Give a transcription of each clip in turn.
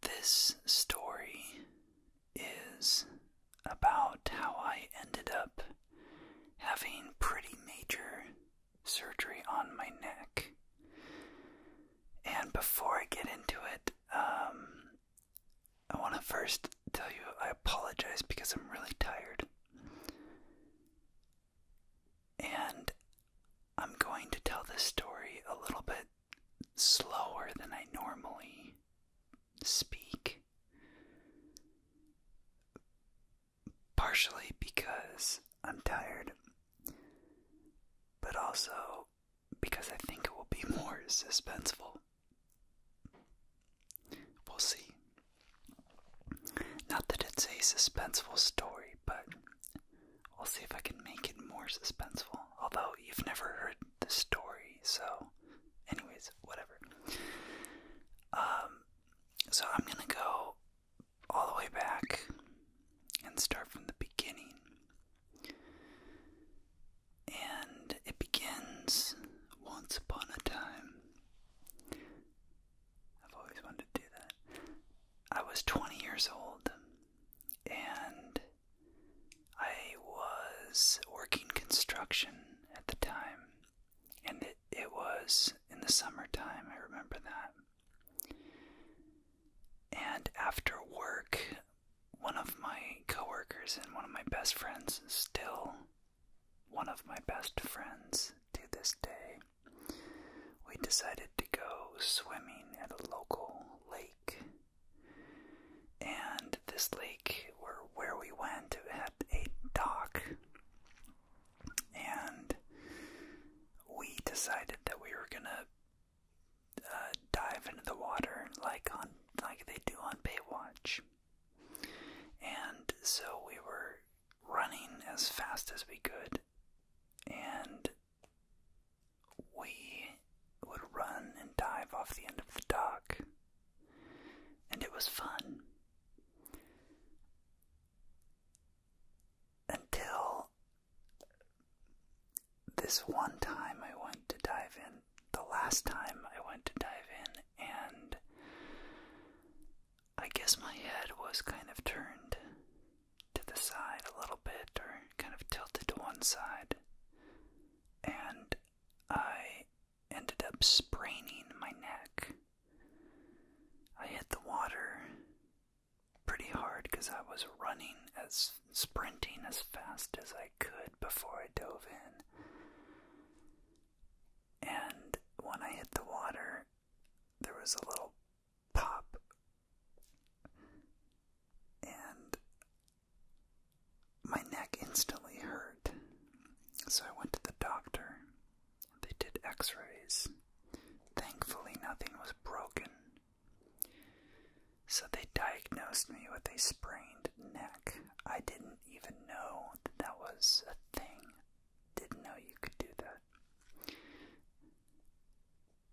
This story is about how I ended up having pretty major surgery on my neck. And before I get into it, um, I want to first tell you I apologize because I'm really tired. And I'm going to tell this story a little bit slower than I normally speak. Partially because I'm tired, but also because I think it will be more suspenseful. We'll see. Not that it's a suspenseful story, but I'll see if I can make it more suspenseful. Although you've never heard the story, so, anyways, whatever. Um, so I'm gonna go all the way back and start from the beginning. And it begins once upon a time. I've always wanted to do that. I was 20 years old, and I was working construction at the time, and it, was in the summertime, I remember that. And after work, one of my coworkers and one of my best friends, still one of my best friends to this day, we decided to go swimming at a local lake and this lake where where we went it had a dock. And we decided that we were gonna uh, dive into the water like on like they do on Baywatch. And so we were running as fast as we could, and we would run and dive off the end of the dock, and it was fun. Until this one time I went to dive in, the last time I went to dive in, and I guess my head was kind of turned to the side a little bit or kind of tilted to one side. And I ended up spraining my neck. I hit the water pretty hard because I was running as sprinting as fast as I could before I dove in. And when I hit the water, there was a little pop. And my neck instantly hurt. So I went to the doctor. They did x rays. Thankfully, nothing was broken. So they diagnosed me with a sprained neck. I didn't even know that that was a thing. Didn't know you could do that.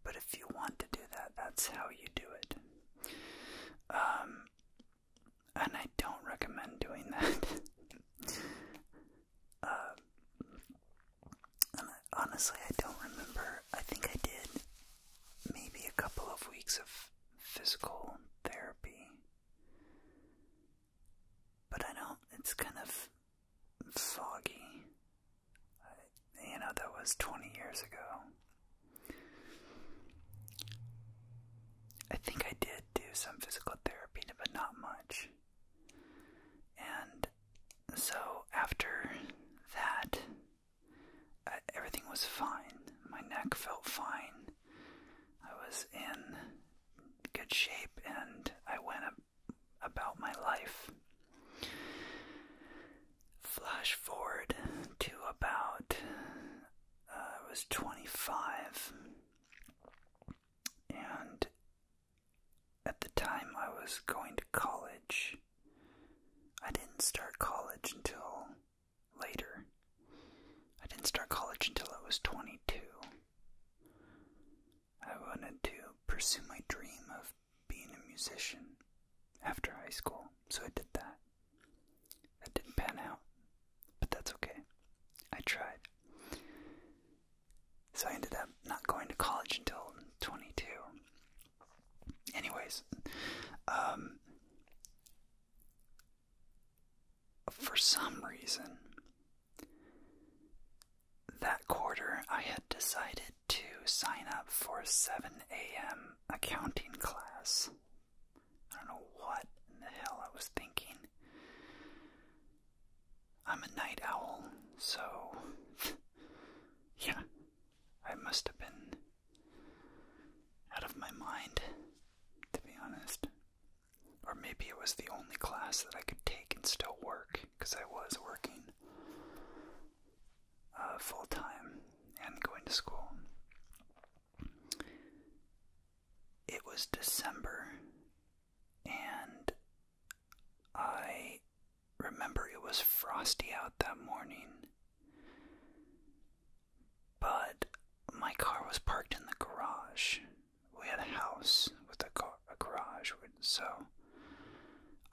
But if you want to do that, that's how you do it. Um, and I don't recommend doing that. Um, honestly, I don't remember. I think I did maybe a couple of weeks of physical therapy. But I don't, it's kind of foggy. You know, that was 20 years ago. I think I did do some physical therapy, but not much. And so after that, everything was fine. My neck felt fine. I was in good shape and I went about my life. Flash forward to about uh, I was 25, and at the time I was going to college. I didn't start college until later. I didn't start college until I was 22. I wanted to pursue my dream of being a musician after high school, so I did that. That didn't pan out, but that's okay. I tried. So I ended up not going to college until 22. Anyways, um, for some reason, that quarter I had decided to sign up for 7 a.m. accounting class. I don't know what in the hell I was thinking. I'm a night owl, so yeah, I must have been out of my mind, to be honest. Or maybe it was the only class that I could take and still work, because I was working. Uh, full time and going to school. It was December, and I remember it was frosty out that morning, but my car was parked in the garage. We had a house with a, a garage, so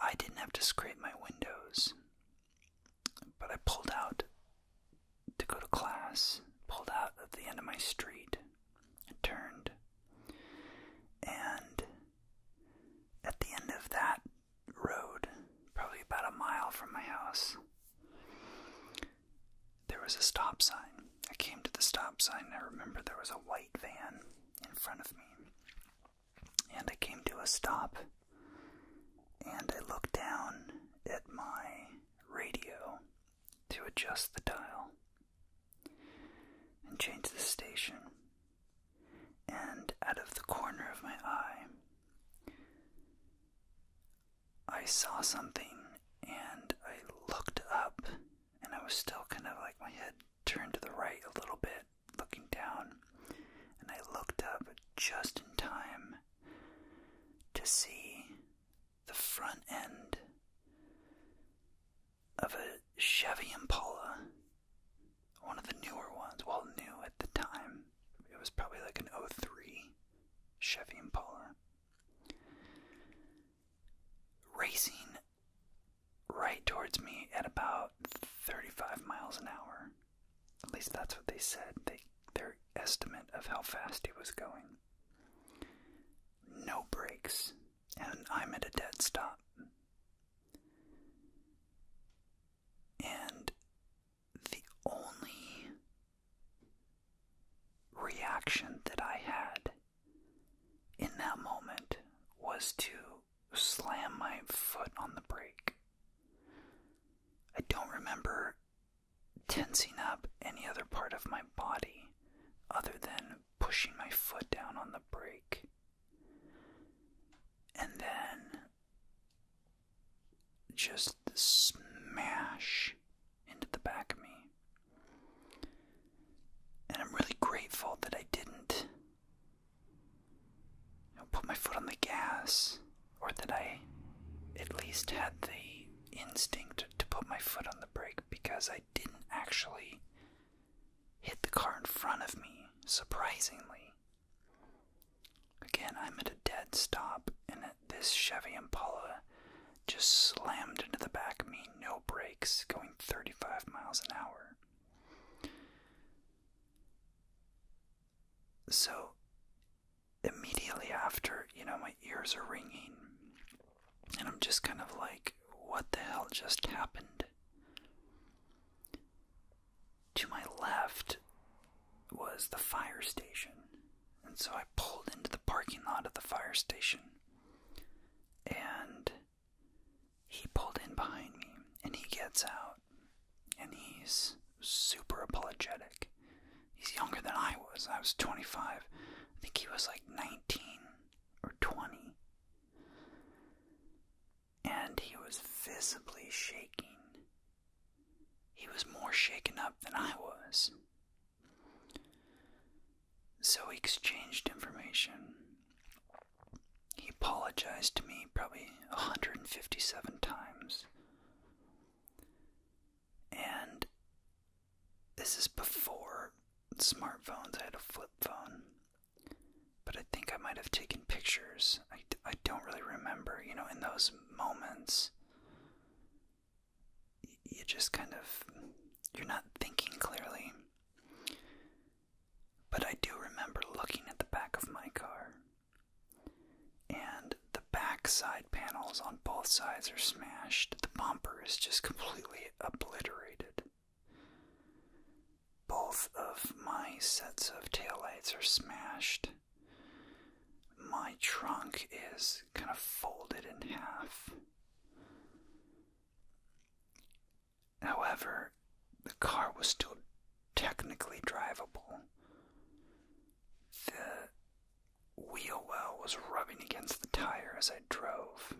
I didn't have to scrape my windows. But I pulled out to go to class, pulled out at the end of my street, turned, and at the end of that road, probably about a mile from my house, there was a stop sign. I came to the stop sign, and I remember there was a white van in front of me and I came to a stop and I looked down at my radio to adjust the dial and change the station. And out of the corner of my eye, I saw something and I looked up and I was still kind of like my head turned to the right a little bit, looking down, and I looked up just in time to see the front end of a Chevy Impala, one of the newer ones, well, new at the time. It was probably like an 03 Chevy Impala. Racing right towards me at about 35 miles an hour. At least that's what they said, they, their estimate of how fast he was going. No brakes, and I'm at a dead stop. And the only reaction that I had in that moment was to slam my foot on the brake. I don't remember tensing up any other part of my body other than pushing my foot down on the brake. And then just the smash into the back of me. And I'm really grateful that I didn't I put my foot on the gas, or that I at least had the instinct to put my foot on the brake because I didn't actually hit the car in front of me, surprisingly. Again, I'm at a dead stop, and this Chevy Impala just slammed into the back of me, no brakes, going 35 miles an hour. So immediately after, you know, my ears are ringing, and I'm just kind of like, what the hell just happened? To my left was the fire station, and so I pulled into the parking lot of the fire station, and he pulled in behind me and he gets out and he's super apologetic. He's younger than I was. I was 25. I think he was like 19 or 20. And he was visibly shaking. He was more shaken up than I was. So we exchanged information he apologized to me probably 157 times. And this is before smartphones. I had a flip phone. But I think I might have taken pictures. I, I don't really remember. You know, in those moments, you just kind of. You're not thinking clearly. But I do remember looking at the back of my car. And the back side panels on both sides are smashed. The bumper is just completely obliterated. Both of my sets of taillights are smashed. My trunk is kind of folded in half. However, the car was still technically drivable. The wheel well was rubbing against the tire as I drove.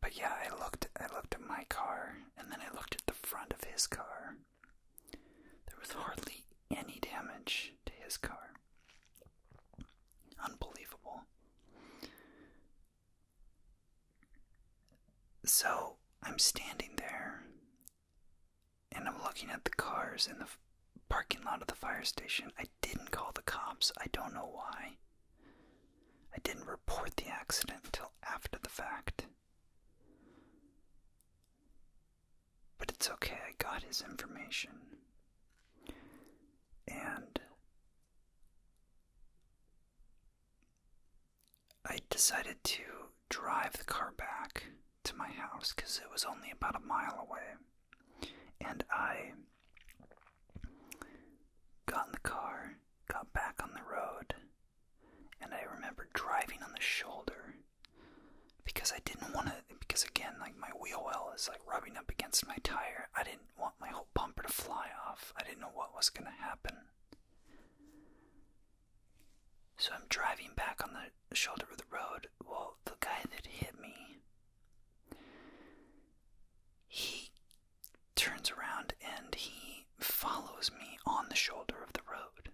But yeah, I looked I looked at my car and then I looked at the front of his car. There was hardly any damage to his car. Unbelievable. So I'm standing there and I'm looking at the cars in the parking lot of the fire station. I didn't call the cops, I don't know why. I didn't report the accident until after the fact. But it's okay, I got his information. And I decided to drive the car back to my house because it was only about a mile away. And I got in the car, got back on the road, and I remember driving on the shoulder because I didn't want to. Because again, like my wheel well is like rubbing up against my tire. I didn't want my whole bumper to fly off. I didn't know what was going to happen. So I'm driving back on the shoulder of the road. Well, the guy that hit me, he turns around and he follows me on the shoulder of the road.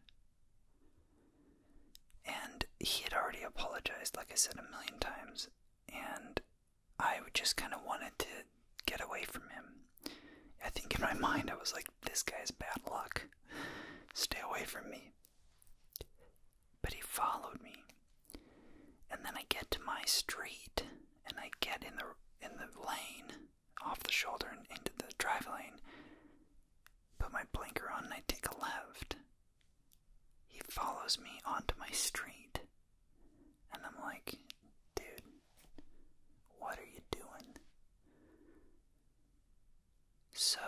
And he had already apologized, like I said a million times. And I just kind of wanted to get away from him. I think in my mind I was like, this guy's bad luck. Stay away from me. But he followed me. And then I get to my street and I get in the in the lane off the shoulder and into the drive lane. Put my blinker on and I take a left. He follows me onto my street and I'm like, dude, what are you doing? So,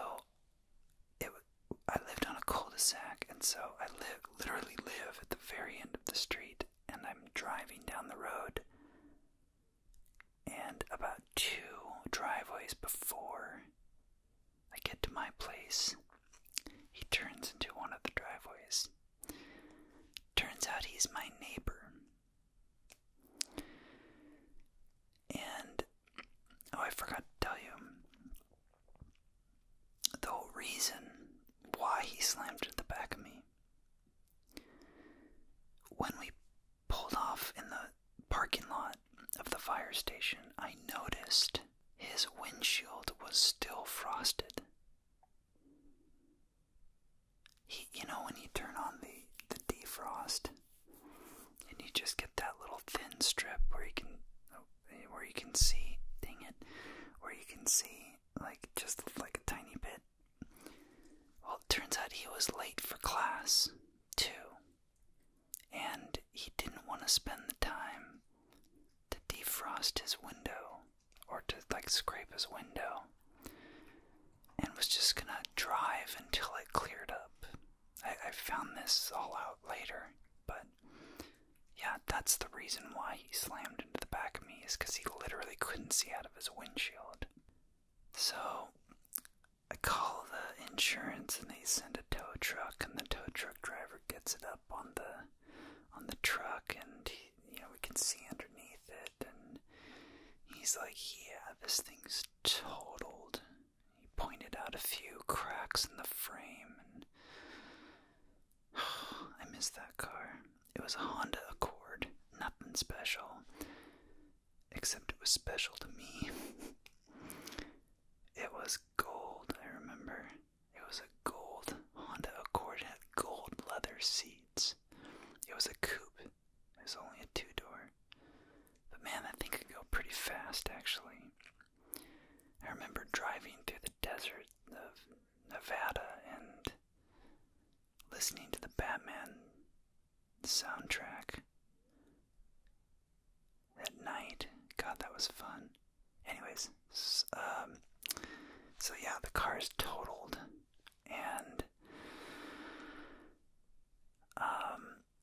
it I lived on a cul-de-sac, and so I live literally live at the very end of the street, and I'm driving down the road, and about two driveways before I get to my place, he turns into one of the driveways Turns out he's my neighbor. And, oh, I forgot to tell you the whole reason why he slammed at the back of me. When we pulled off in the parking lot of the fire station, I noticed his windshield was still frosted. He, you know, when you turn on the the defrost, and you just get that little thin strip where you can, where you can see, dang it, where you can see like just like a tiny bit. Well, it turns out he was late for class too, and he didn't want to spend the time to defrost his window or to like scrape his window and was just gonna drive until it cleared up. I, found this all out later, but yeah, that's the reason why he slammed into the back of me, is because he literally couldn't see out of his windshield. So I call the insurance and they send a tow truck, and the tow truck driver gets it up on the on the truck and you know we can see underneath it and he's like yeah this thing's totaled he pointed out a few cracks in the frame and i miss that car it was a honda accord nothing special except it was special to me it was gold i remember it was a gold Honda Accord. It had gold leather seats. It was a coupe. It was only a two-door. But man, that thing could go pretty fast, actually. I remember driving through the desert of Nevada and listening to the Batman soundtrack. That night, God, that was fun. Anyways, um, so yeah, the car is totaled, and um,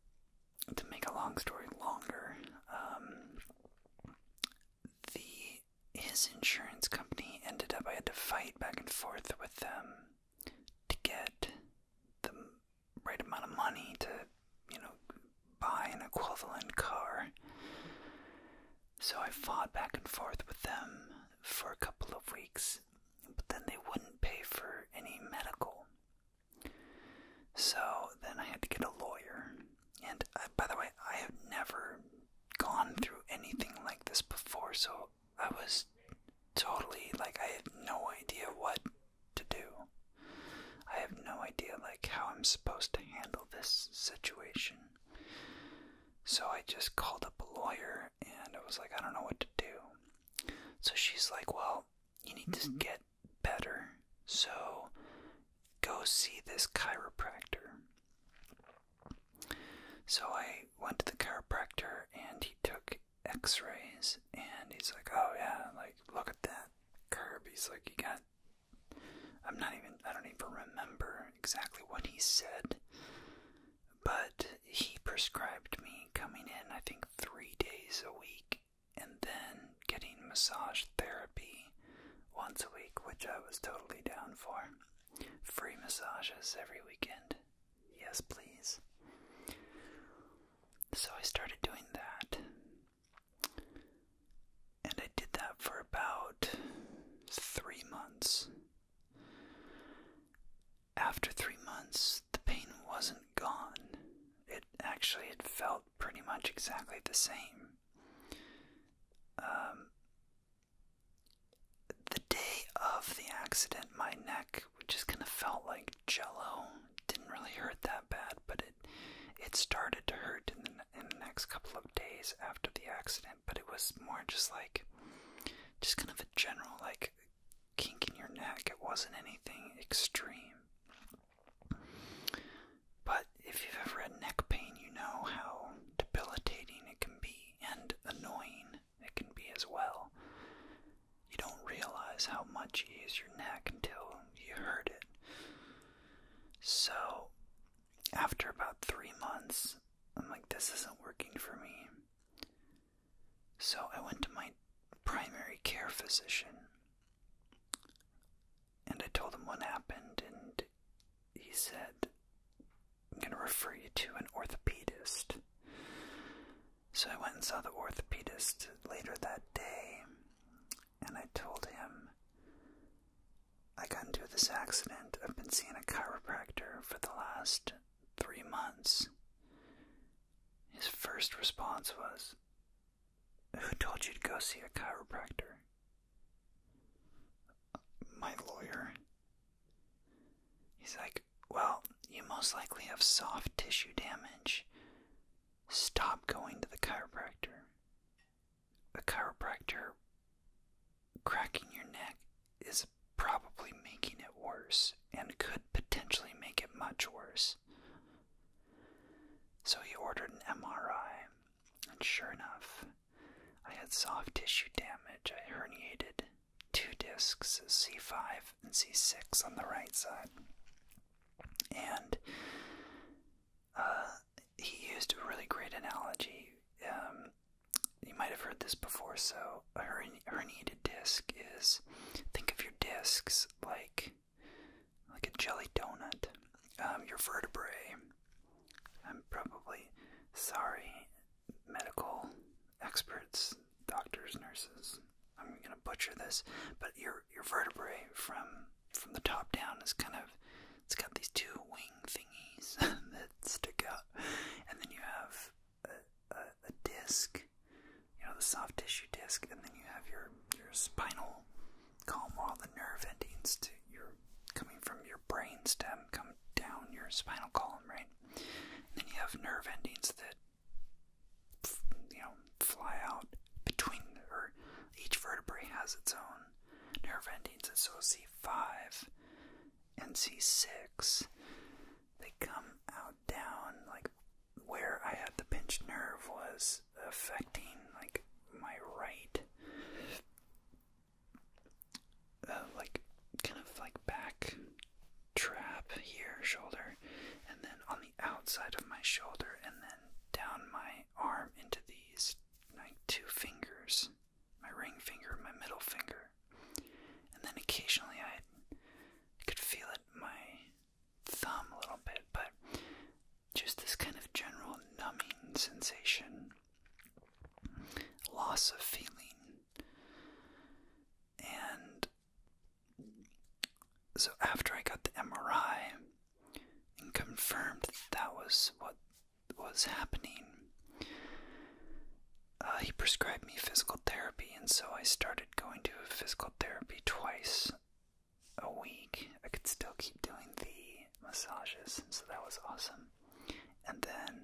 to make a long story longer, um, the his insurance company ended up. I had to fight back and forth with them to get the right amount of money to, you know, buy an equivalent car. So I fought back and forth with them for a couple of weeks, but then they wouldn't pay for any medical. So then I had to get a lawyer. And uh, by the way, I have never gone through anything like this before, so I was totally like, I have no idea what to do. I have no idea like how I'm supposed to handle this situation. So I just called up a lawyer and I was like, I don't know what to do. So she's like, Well, you need to mm-hmm. get better. So go see this chiropractor. So I went to the chiropractor and he took x rays and he's like, Oh, yeah, like, look at that curb. He's like, You got I'm not even, I don't even remember exactly what he said, but he prescribed me coming in, I think, three days a week and then getting massage therapy once a week, which I was totally down for. Free massages every weekend. Yes, please. So I started doing that. And I did that for about three months. After three months, the pain wasn't gone. It actually it felt pretty much exactly the same. Um, the day of the accident, my neck just kind of felt like jello. Didn't really hurt that bad, but it it started to hurt in the next couple of days after the accident but it was more just like, just kind of a general like kink in your neck. It wasn't anything extreme. But if you've ever had neck pain, you know how debilitating it can be and annoying it can be as well. You don't realize how much you use your neck until you hurt it. So, after about three months, I'm like, this isn't working for me. So I went to my primary care physician and I told him what happened, and he said, I'm going to refer you to an orthopedist. So I went and saw the orthopedist later that day, and I told him I got into this accident. I've been seeing a chiropractor for the last three months. His first response was, Who told you to go see a chiropractor? My lawyer. He's like, Well, you most likely have soft tissue damage. Stop going to the chiropractor a chiropractor cracking your neck is probably making it worse and could potentially make it much worse. So he ordered an MRI, and sure enough, I had soft tissue damage. I herniated two discs, C5 and C6, on the right side. And uh, he used a really great analogy. Um, you might have heard this before. So, a herniated disc is think of your discs like like a jelly donut. Um, your vertebrae. I'm probably sorry, medical experts, doctors, nurses. I'm gonna butcher this, but your your vertebrae from from the top down is kind of it's got these two wing thingies that stick out, and then you have a, disc, you know, the soft tissue disc, and then you have your your spinal column, all the nerve endings to your coming from your brain stem come down your spinal column, right? And then you have nerve endings that you know fly out between, or each vertebrae has its own nerve endings. at so C5 and C6, they come out down, like where I had the pinched nerve was affecting, like, my right, uh, like, kind of like back trap here, shoulder, and then on the outside of my shoulder, and then down my arm into these like two fingers my ring finger, my middle finger. And then occasionally I could feel it my thumb a little bit, but just this kind of general numbing sensation, loss of feeling. And so after I got the MRI and confirmed that was what was happening, uh, he prescribed me physical therapy, and so I started going to physical therapy twice a week. I could still keep doing the massages, and so that was awesome. And then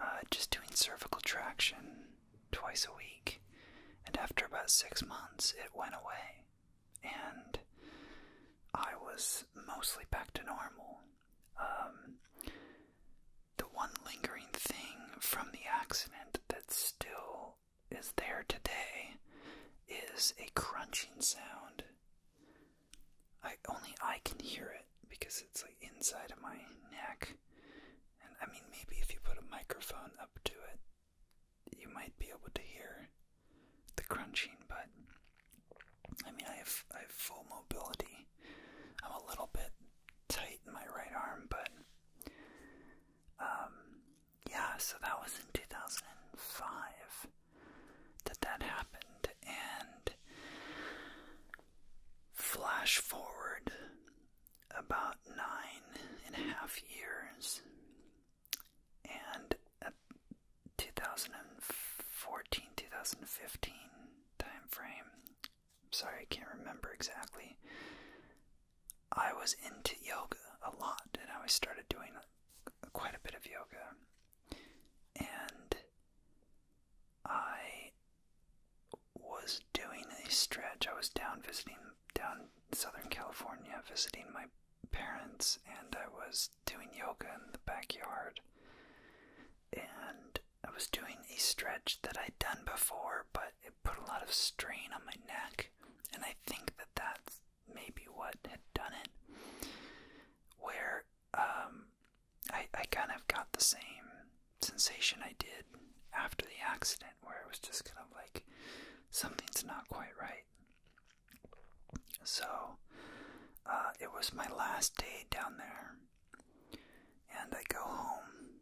uh, just doing cervical traction twice a week. And after about six months, it went away. And I was mostly back to normal. Um, the one lingering thing from the accident that still is there today is a crunching sound. I only I can hear it because it's like inside of my neck. And I mean maybe if you put a microphone up to it you might be able to hear the crunching, but I mean, I have I have full mobility. I'm a little bit tight in my right arm, but um, yeah. So that was in 2005 that that happened, and flash forward about nine and a half years, and 2014 2015 time frame. sorry, I can't remember exactly. I was into yoga a lot and I started doing uh, quite a bit of yoga. And I was doing a stretch. I was down visiting down Southern California, visiting my parents, and I was doing yoga in the backyard. And I was doing a stretch that I'd done before, but it put a lot of strain on my neck. And I think that that's maybe what had done it. Where um, I, I kind of got the same sensation I did after the accident, where it was just kind of like something's not quite right. So uh, it was my last day down there, and I go home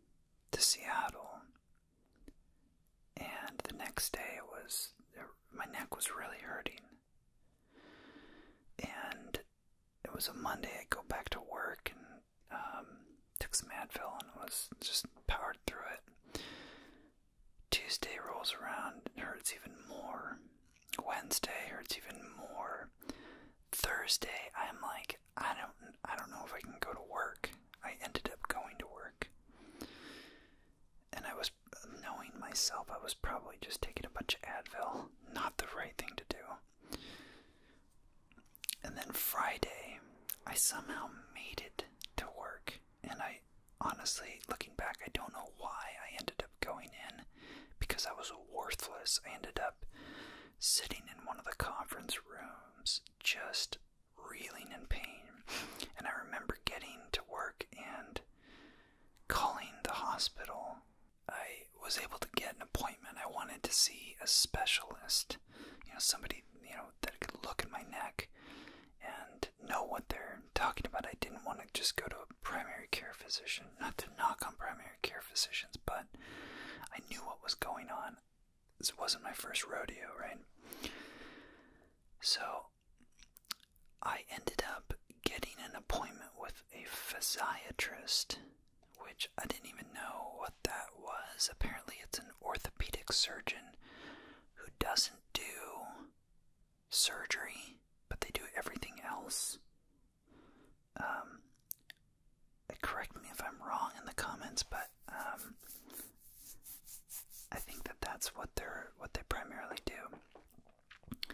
to Seattle. And the next day, it was er, my neck was really hurting, and it was a Monday. I go back to work and um, took some Advil and was just powered through it. Tuesday rolls around and hurts even more. Wednesday hurts even more. Thursday, I'm like, I don't, I don't know if I can go to work. I ended up going to work, and I was knowing myself, I was probably just taking a bunch of Advil. Not the right thing to do. And then Friday, I somehow made it to work, and I Honestly, looking back, I don't know why I ended up going in because I was worthless. I ended up sitting in one of the conference rooms, just reeling in pain. And I remember getting to work and calling the hospital. I was able to get an appointment. I wanted to see a specialist, you know, somebody, you know, that could look at my neck and know what they're talking about. I didn't want to just go to a primary care physician, not to knock on primary care physicians, but I knew what was going on. This wasn't my first rodeo, right? So I ended up getting an appointment with a physiatrist, which I didn't even know what that was. Apparently, it's an orthopedic surgeon who doesn't do surgery, but they do everything else. Um, correct me if I'm wrong in the comments, but um, I think that that's what they're what they primarily do.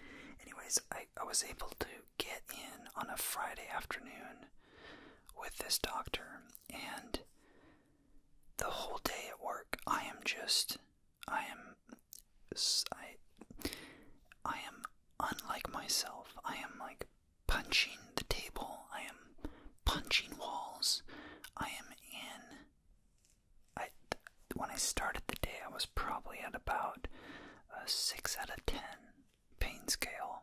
Anyways, I, I was able to get in on a Friday afternoon with this doctor, and the whole day at work, I am just I am. I, I am unlike myself. I am like punching the table. I am punching walls. I am in. I when I started the day, I was probably at about a six out of ten pain scale,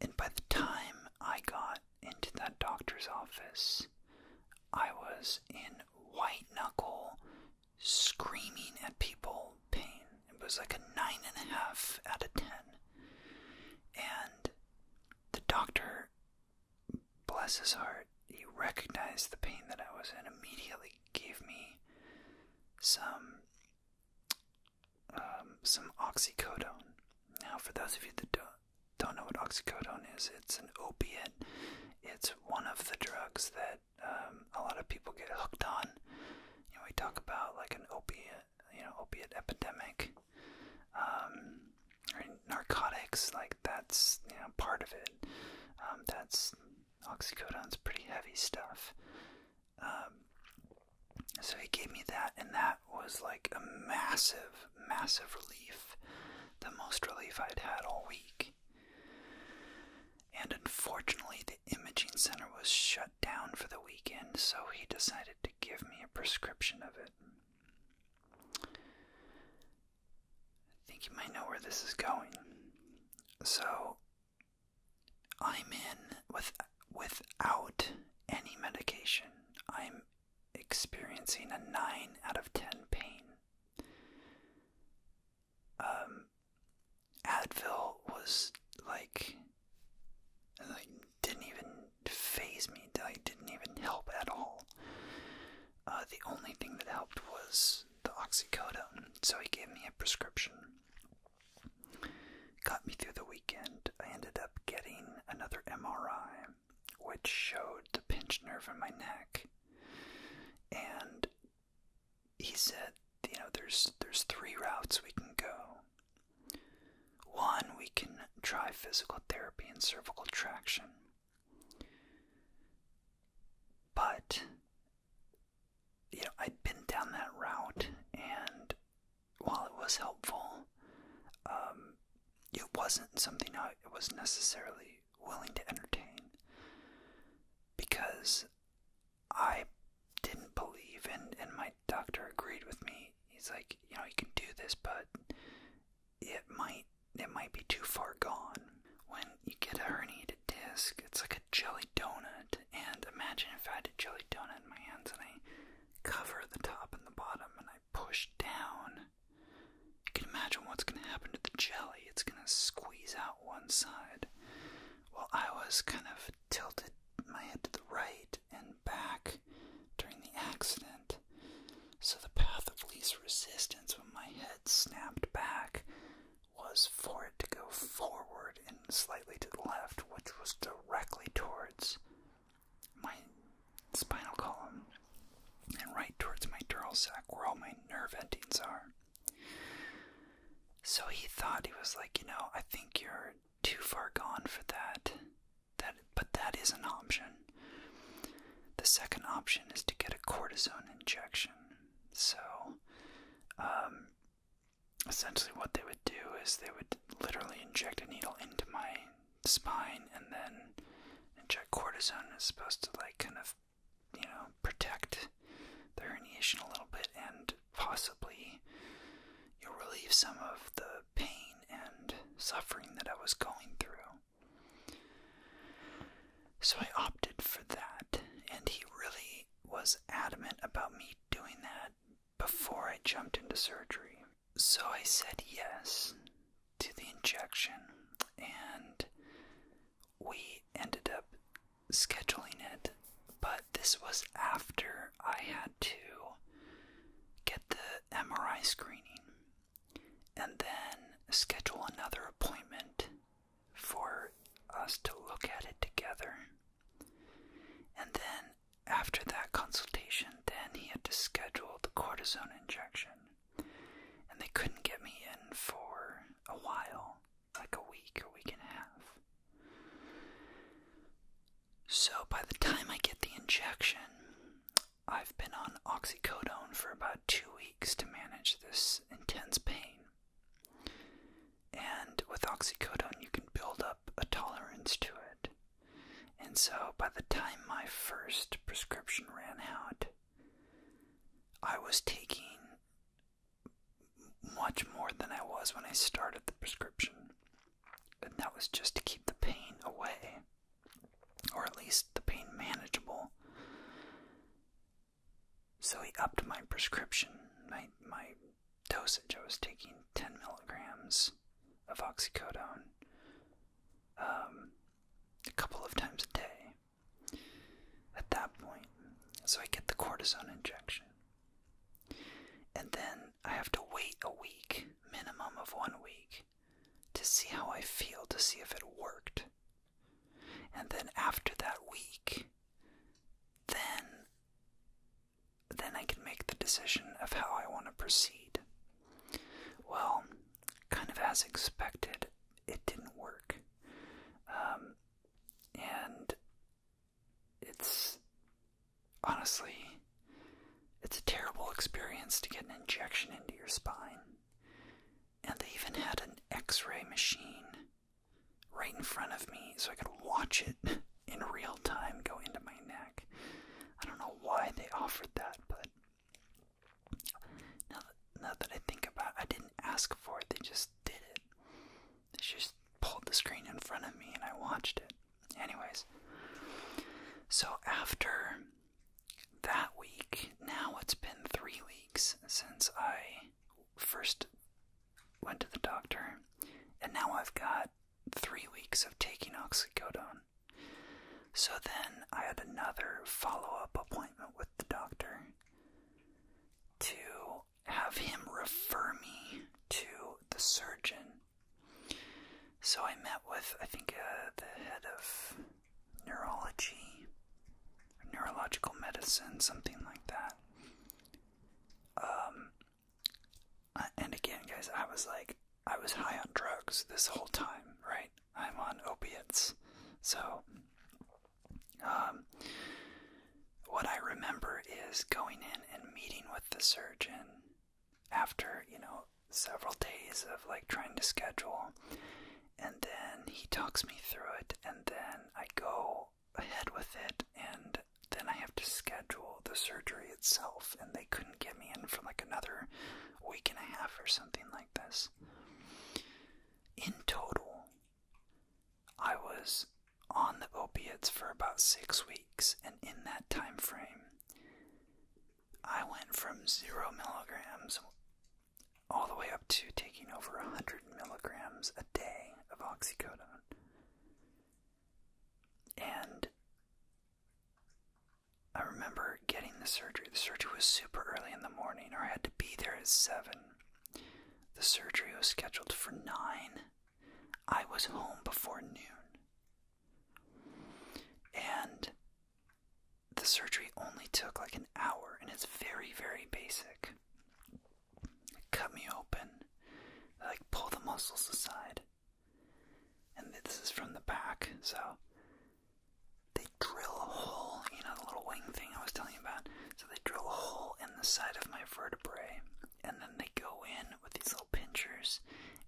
and by the time I got into that doctor's office, I was in white knuckle screaming at people pain. It was like a nine and a half out of ten. And the doctor, bless his heart, he recognized the pain that I was in, immediately gave me some um, some oxycodone. Now, for those of you that don't, don't know what oxycodone is, it's an opiate it's one of the drugs that um, a lot of people get hooked on. You know, we talk about like an opiate, you know, opiate epidemic, um, narcotics. Like that's you know part of it. Um, that's oxycodone's pretty heavy stuff. so he gave me that, and that was like a massive, massive relief. The most relief I'd had all week. And unfortunately, the imaging center was shut down for the weekend, so he decided to give me a prescription of it. I think you might know where this is going. So, I'm in with without any medication. I'm experiencing a 9 out of 10 pain um, Advil was like, didn't even phase me. Like didn't even help at all. Uh, the only thing that helped was the oxycodone. So he gave me a prescription. Got me through the weekend. I ended up getting another MRI which showed the pinched nerve in my neck. And he said, you know, there's there's three routes we can go. One, we can try physical therapy and cervical traction. But you know, I'd been down that route and while it was helpful, um, it wasn't something I was necessarily willing to entertain because I didn't believe and and my doctor agreed with me. He's like, you know, you can do this, but it might it might be too far gone. When you get a herniated disc, it's like a jelly donut. And imagine if I had a jelly donut in my hands and I cover the top and the bottom and I push down you can imagine what's going to happen to the jelly. It's going to squeeze out one side. Well, I was kind of tilted my head to the right and back during the accident. So the path of least resistance when my head snapped back was for it to go forward and slightly to the left, which was directly towards my spinal column and right towards my dural sac where all my nerve endings are. So he thought, he was like, you know, I think you're too far gone for that. That, but that is an option. The second option is to get a cortisone injection. So, um, essentially, what they would do is they would literally inject a needle into my spine and then inject cortisone. It's supposed to like kind of you know, protect the herniation a little bit and possibly you'll relieve some of the pain and suffering that I was going through. So I opted for that, and he really was adamant about me doing that before I jumped into surgery. So I said yes, to the injection, and we ended up scheduling it. But this was after I had to get the MRI screening and then schedule another appointment for us to look at it together. And then after that consultation, then he had to schedule the cortisone injection and they couldn't get me in for a while, like a week or week and a half. So by the time I get the injection, I've been on oxycodone for about two weeks to manage this intense pain. And with oxycodone, you can build up a tolerance to it. And so by the time my first prescription ran out, I was taking much more than I was when I started the prescription. And that was just to keep the pain away, or at least the pain manageable. So he upped my prescription, my, my dosage. I was taking 10 milligrams of oxycodone um, a couple of times a day at that point. So I get the cortisone injection. And then I have to wait a week, minimum of one week, to see how I feel, to see if it worked. And then after that week, then then I can make the decision of how I want to proceed. Well, kind of as expected, it didn't work. Um, and it's honestly, it's a terrible experience to get an injection into your spine. And they even had an x ray machine right in front of me so I could watch it in real time go into my neck. I don't know why they offered that, but now that, I think about I didn't ask for it, they just did it. They just pulled the screen in front of me and I watched it. Anyways, so after that week, now it's been three weeks since I first went to the doctor, and now I've got three weeks of taking oxycodone. So then I had another follow up appointment with the doctor to have him refer me to the surgeon. So I met with, I think, uh, the head of neurology, neurological medicine, something like that. Um, and again, guys, I was like, I was high on drugs this whole time, right? I'm on opiates. So, um, what I remember is going in and meeting with the surgeon after, you know, several days of like trying to schedule. And then he talks me through it, and then I go ahead with it, and then I have to schedule the surgery itself. And they couldn't get me in for like another week and a half or something like. In total, I was on the opiates for about six weeks, and in that time frame, I went from zero milligrams all the way up to taking over 100 milligrams a day of oxycodone. And I remember getting the surgery. The surgery was super early in the morning, or I had to be there at 7. The surgery was scheduled for 9. I was home before noon. And the surgery only took like an hour, and it's very, very basic. They cut me open, like pull the muscles aside. And this is from the back, so they drill a hole, you know, the little wing thing I was telling you about. So they drill a hole in the side of my vertebrae, and then they go in with these little pinchers,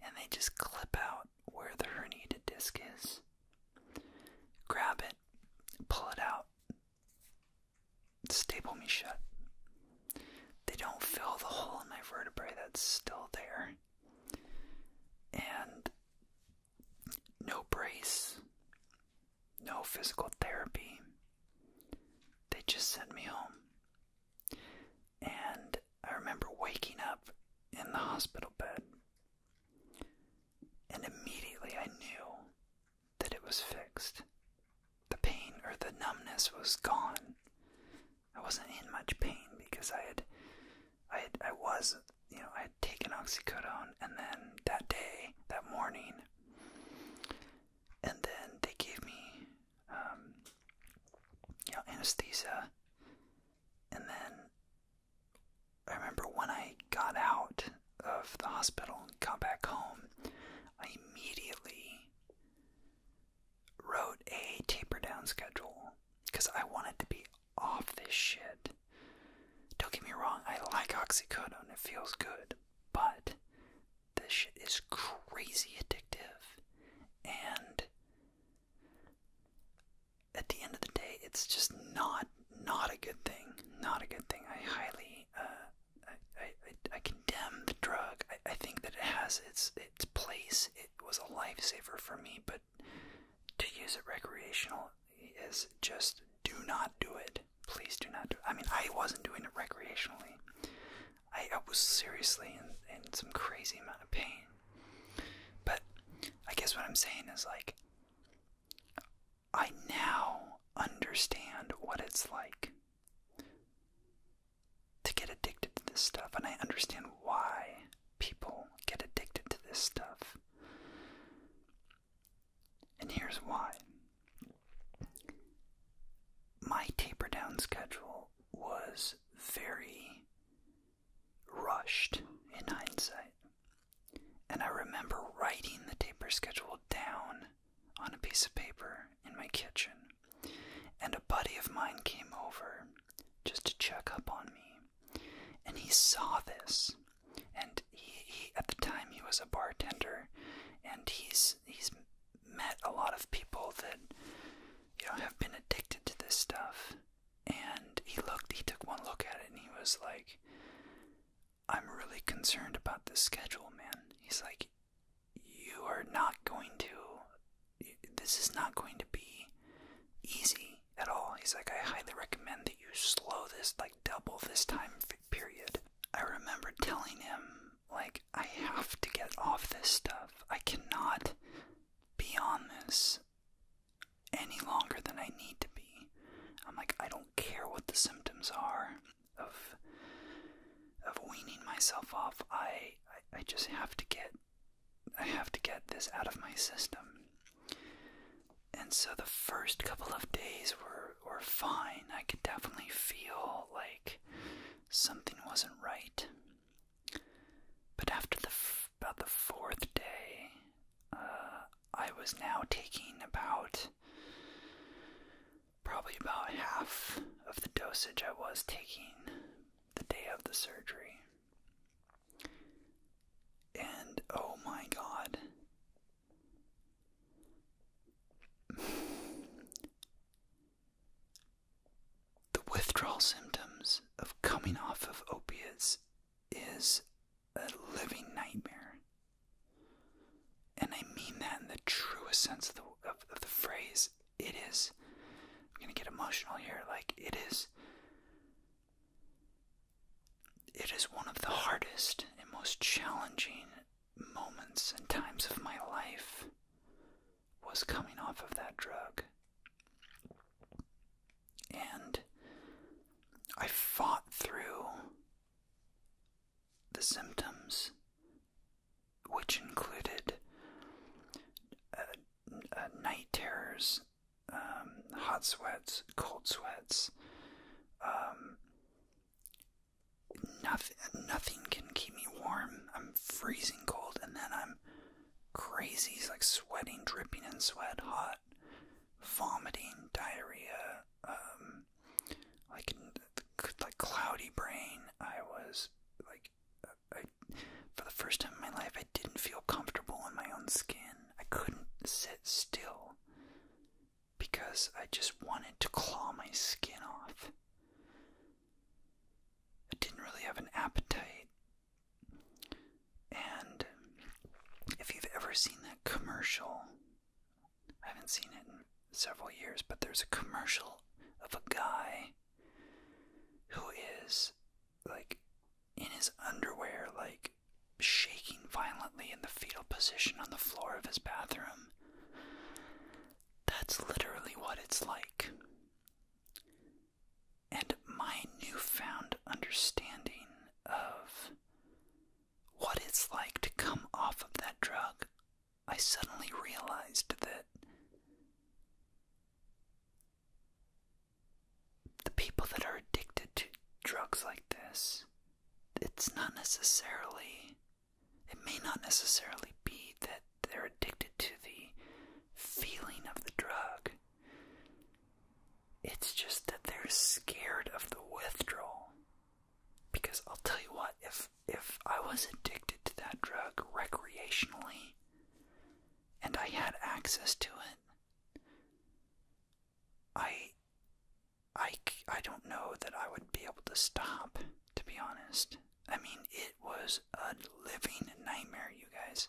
and they just clip out where the herniated disc is. Grab it, pull it out, staple me shut. They don't fill the hole in my vertebrae that's still there. And no brace, no physical therapy. They just sent me home. And I remember waking up in the hospital bed, and immediately I knew that it was fixed. The pain or the numbness was gone. I wasn't in much pain because I had I I was you know I had taken oxycodone, and then that day, that morning, and then they gave me um, you know anesthesia, and then I remember when I got out of the hospital and got back home, I immediately wrote a taper down schedule because I wanted to be off this shit. Don't get me wrong, I like oxycodone, it feels good, but this shit is crazy addictive. And at the end of the day, it's just not not a good thing. Not a good thing. I highly uh, I, I, I condemn the drug. I think that it has its its place. It was a lifesaver for me, but to use it recreational is just do not do it. Please do not do it. I mean, I wasn't doing it recreationally. I, I was seriously in, in some crazy amount of pain. But I guess what I'm saying is like, I now understand what it's like to get addicted to this stuff, and I understand why people get addicted to this stuff. And here's why my taper down schedule was very rushed in hindsight. And I remember writing the taper schedule down on a piece of paper in my kitchen. And a buddy of mine came over just to check up on me and he saw this and he, at the time he was a bartender and he's he's met a lot of people that you know have been addicted to this stuff and he looked he took one look at it and he was like i'm really concerned about this schedule man he's like you are not going to this is not going to be easy at all. He's like, I highly recommend that you slow this, like double this time period. I remember telling him, like, I have to get off this stuff. I cannot be on this any longer than I need to be. I'm like, I don't care what the symptoms are of of weaning myself off. I, I just have to get I have to get this out of my system. And so the first couple of days were were fine. I could definitely feel like something wasn't right. But after the about the fourth day, uh, I was now taking about probably about half of the dosage I was taking the day of the surgery. And oh my god. the withdrawal symptoms of coming off of opiates is a living nightmare. And I mean that in the truest sense of the, of, of the phrase. It is, I'm going to get emotional here, like, it is it is one of the hardest and most challenging moments and times of my life was coming off of that drug. And I fought through the symptoms, which included uh, uh, night terrors um, hot sweats, cold sweats. Um, nothing, nothing can keep me warm. I'm freezing cold, and then I'm crazy, it's like sweating, dripping in sweat, hot, vomiting, diarrhea. Um, like like cloudy brain. I was like, for the first time in my life, I didn't feel comfortable in my own skin. I couldn't sit still because I just wanted to claw my skin off. I didn't really have an appetite. And if you've ever seen that commercial, I haven't seen it in several years, but there's a commercial of a guy who is like in his underwear, like shaking violently in the fetal position on the floor of his bathroom. That's literally what it's like. And my newfound understanding of what it's like to come off of that drug, I suddenly realized that the people that are addicted to drugs like this, it's not necessarily, it may not necessarily be that they're addicted to the feeling of the drug. It's just that they're scared of the withdrawal. Because I'll tell you what, if if I was addicted to that drug recreationally and I had access to it, I I I don't know that I would be able to stop to be honest. I mean, it was a living nightmare, you guys.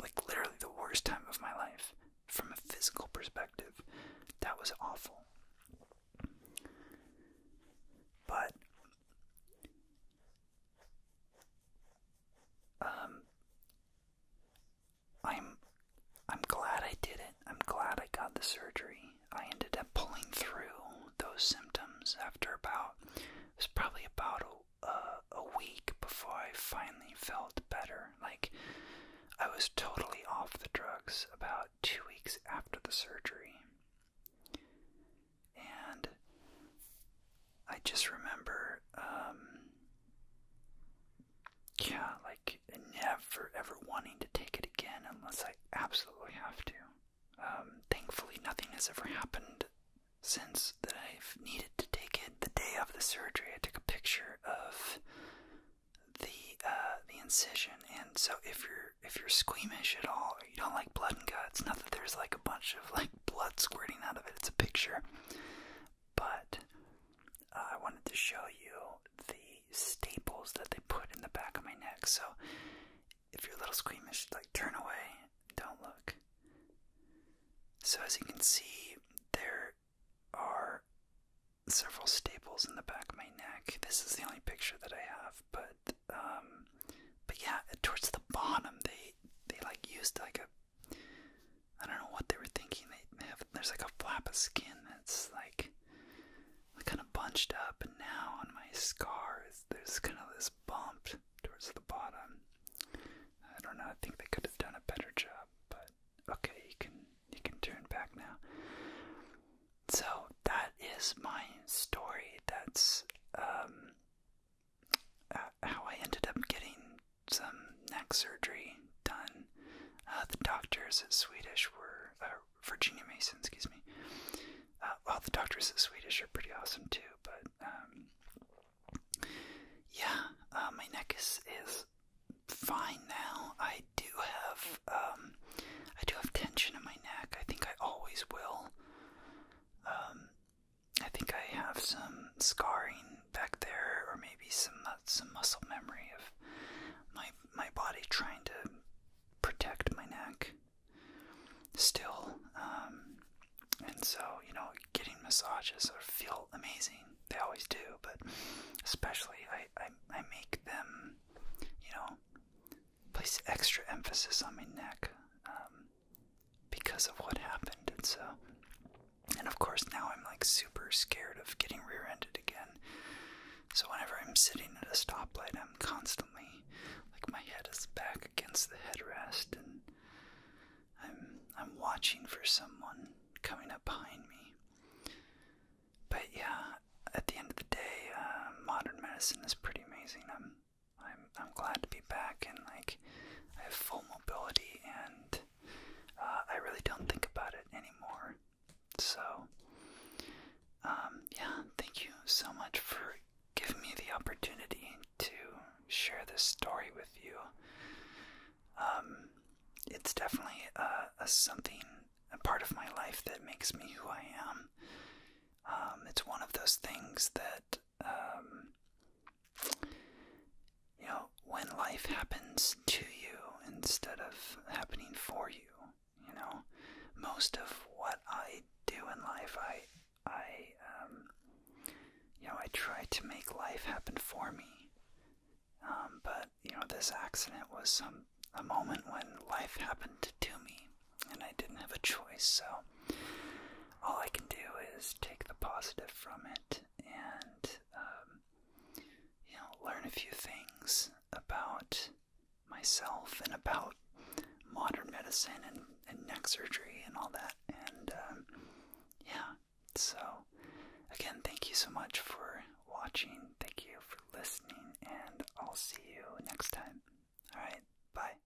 Like literally the worst time of my life from a physical perspective. That was awful. But um I'm I'm glad I did it. I'm glad I got the surgery. I ended up pulling through those symptoms after about it was probably about a, a week before I finally felt better. Like I was totally off the drugs about 2 weeks after the surgery. And I just remember, um, yeah, like never ever wanting to take it again unless I absolutely have to. Um, thankfully, nothing has ever happened since that I've needed to take it. The day of the surgery, I took a picture of the uh, the incision, and so if you're if you're squeamish at all, or you don't like blood and guts, not that there's like a bunch of like blood squirting out of it. It's a picture but uh, I wanted to show you the staples that they put in the back of my neck. So if you're little squeamish, like turn away, don't look. So as you can see, there are several staples in the back of my neck. This is the only picture that I have, but um, but yeah, towards the bottom, they they like used like a I don't know what they were thinking. They have there's like a flap of skin that's like kind of bunched up, and now on my scar there's kind of this bump towards the bottom. I don't know. I think they could have done a better job, but okay, you can you can turn back now. So that is my story. That's um uh, how I ended up getting some neck surgery done. Uh, the doctors at Swedish were uh, Virginia Mason, excuse me. Uh, the doctors at Swedish are pretty awesome too, but um, yeah, my neck is is fine now. I do have um, I do have tension in my neck. I think I always will. Um, I think I have some scarring back there, or maybe some uh, some muscle memory of my my body trying to protect my neck. Still, um, and so you know, getting massages are, feel amazing. They always do, but especially I, I make them, you know, place extra emphasis on my neck. Um, because of what happened. And so, and of course, now I'm like super scared of getting rear ended again. So, whenever I'm sitting at a stoplight, I'm constantly like my head is back against the headrest and I'm, I'm watching for someone coming up behind me. But yeah, at the end of the day, uh, modern medicine is pretty amazing. I'm, I'm, I'm glad to be back and like I have full mobility and uh, I really don't think about it anymore. So, um, yeah, thank you so much for giving me the opportunity to share this story with you. Um, it's definitely a, uh, a something, a part of my life that makes me who I am. Um, it's one of those things that um, you know, when life happens to you instead of happening for you, you know, most of what I do in life, I, I, um, you know, I try to make life happen for me. Um, but you know, this accident was some a moment when life happened to me, and I didn't have a choice. So all I can do is take the positive from it and um, you know learn a few things about myself and about modern medicine and, neck surgery and all that. And um, yeah, so again, thank you so much for watching. Thank you for listening, and I'll see you next time. All right, bye.